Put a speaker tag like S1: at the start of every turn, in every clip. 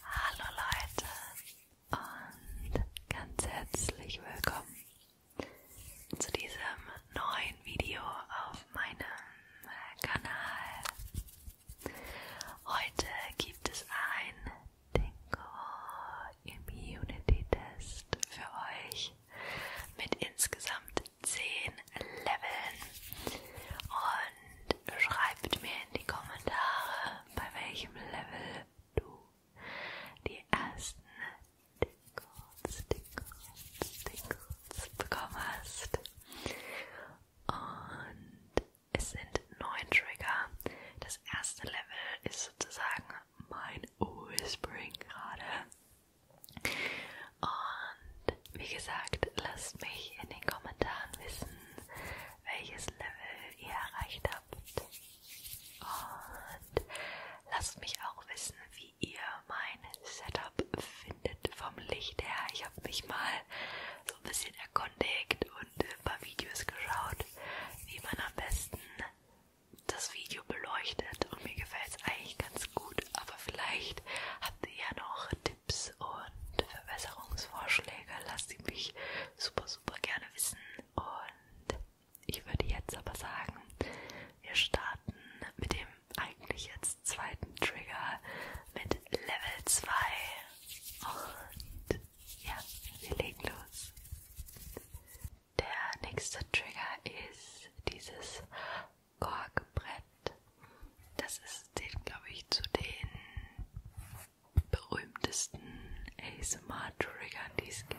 S1: Hallo Leute und ganz herzlich willkommen zu diesem neuen Video auf meinem Kanal. Heute gibt es ein Dingo Immunity Test für euch mit insgesamt 10 Leveln und schreibt mir in die Kommentare, bei welchem Level du die ersten Tickles, Tickles, Tickles bekommen hast. Und es sind neun Trigger. Das erste Level ist sozusagen mein Whispering gerade. Und wie gesagt, lasst mich in den Kommentaren wissen, welches Level ihr erreicht habt. Und lasst mich auch wissen, wie ihr mein Setup findet vom Licht her. Ich habe mich mal so ein bisschen erkundigt und ein paar Videos geschaut, wie man am besten das Video beleuchtet und mir gefällt es eigentlich ganz gut, aber vielleicht habt ihr ja noch Tipps und Verbesserungsvorschläge lasst sie mich super, super gerne wissen. Und ich würde jetzt aber sagen, wir starten mit dem eigentlich jetzt zweiten Trigger mit Level 2. Und ja, wir legen los. Der nächste Trigger ist dieses Korkbrett das ist, glaube ich, zu den berühmtesten ASMR-Triggern, die es gibt.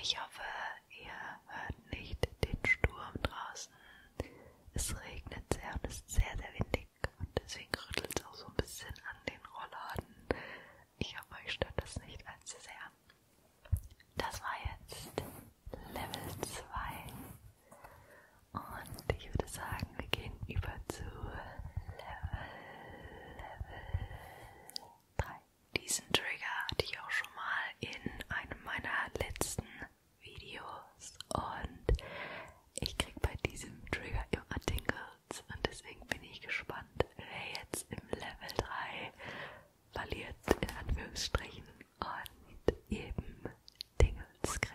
S1: Ich hoffe, ihr hört nicht den Sturm draußen. Es regnet sehr und ist sehr, sehr windig und deswegen rüttelt es auch so ein bisschen an den Rollladen. Ich hoffe, euch stört das nicht allzu sehr. Das war jetzt Level 2. Und ich würde sagen, wir gehen über zu Level, Level 3. Diesen Trigger hatte ich auch schon mal in einem meiner letzten Videos und ich krieg bei diesem Trigger immer Tingles und deswegen bin ich gespannt, wer jetzt im Level 3 verliert in Anführungsstrichen und eben Dingels kriegt.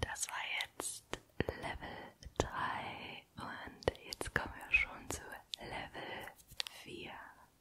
S1: Das war jetzt Level drei und jetzt kommen wir schon zu Level vier.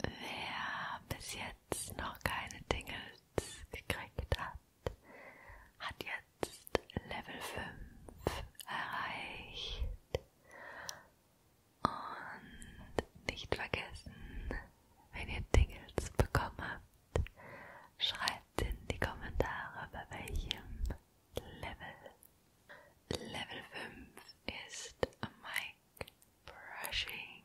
S1: Wer bis jetzt noch keine Dingles gekriegt hat, hat jetzt Level 5 erreicht. Und nicht vergessen, wenn ihr Dingles bekommen habt, schreibt in die Kommentare, bei welchem Level. Level 5 ist Mic Brushing.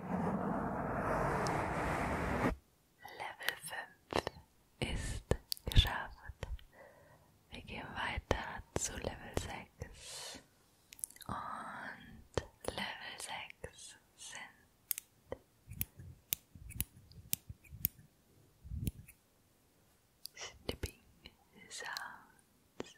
S1: Level 5 ist geschafft. Wir gehen weiter zu Level 6. Und Level 6 sind Snipping Sounds.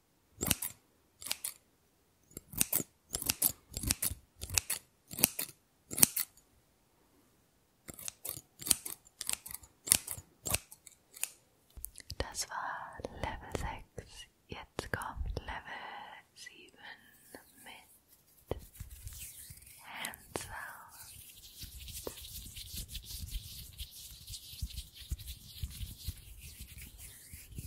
S1: Das war Level sechs. Jetzt kommt Level sieben mit Hands out.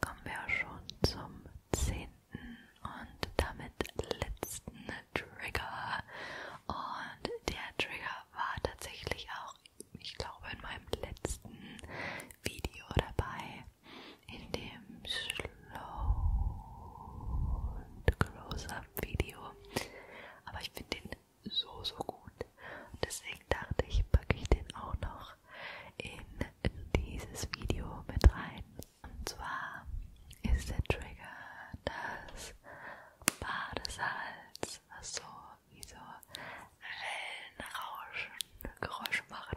S1: kommen wir auch schon zum zehnten und damit letzten Trigger. Und der Trigger war tatsächlich auch, ich glaube, in meinem letzten Video dabei, in dem Slow und Close-Up Video. Aber ich finde den so, so gut. Und deswegen dachte ich, packe ich den auch noch noch in dieses Video mit rein. Und zwar ist der Trigger das Badesalz, was so wie so Wellenrauschen Geräusche macht.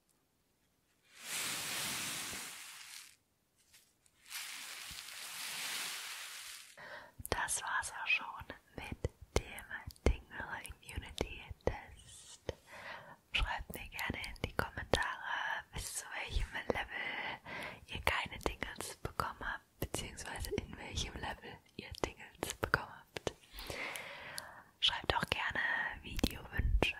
S1: Das war's auch schon mit dem Tingle Immunity Test. Schreibt mir gerne in die Kommentare, bis zu welchem Level ihr keine Tingles bekommen habt, beziehungsweise in welchem Level ihr Tingles bekommen habt. Schreibt auch gerne Videowünsche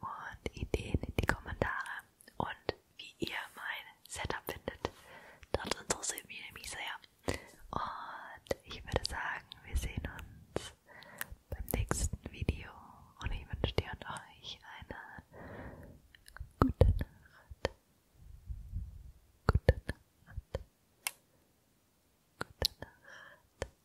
S1: und Ideen in die Kommentare und wie ihr mein Setup findet. Das interessiert mich nämlich sehr. Und ich würde sagen, wir sehen uns beim nächsten Video und ich wünsche dir und euch eine gute Nacht. Gute Nacht. Gute Nacht.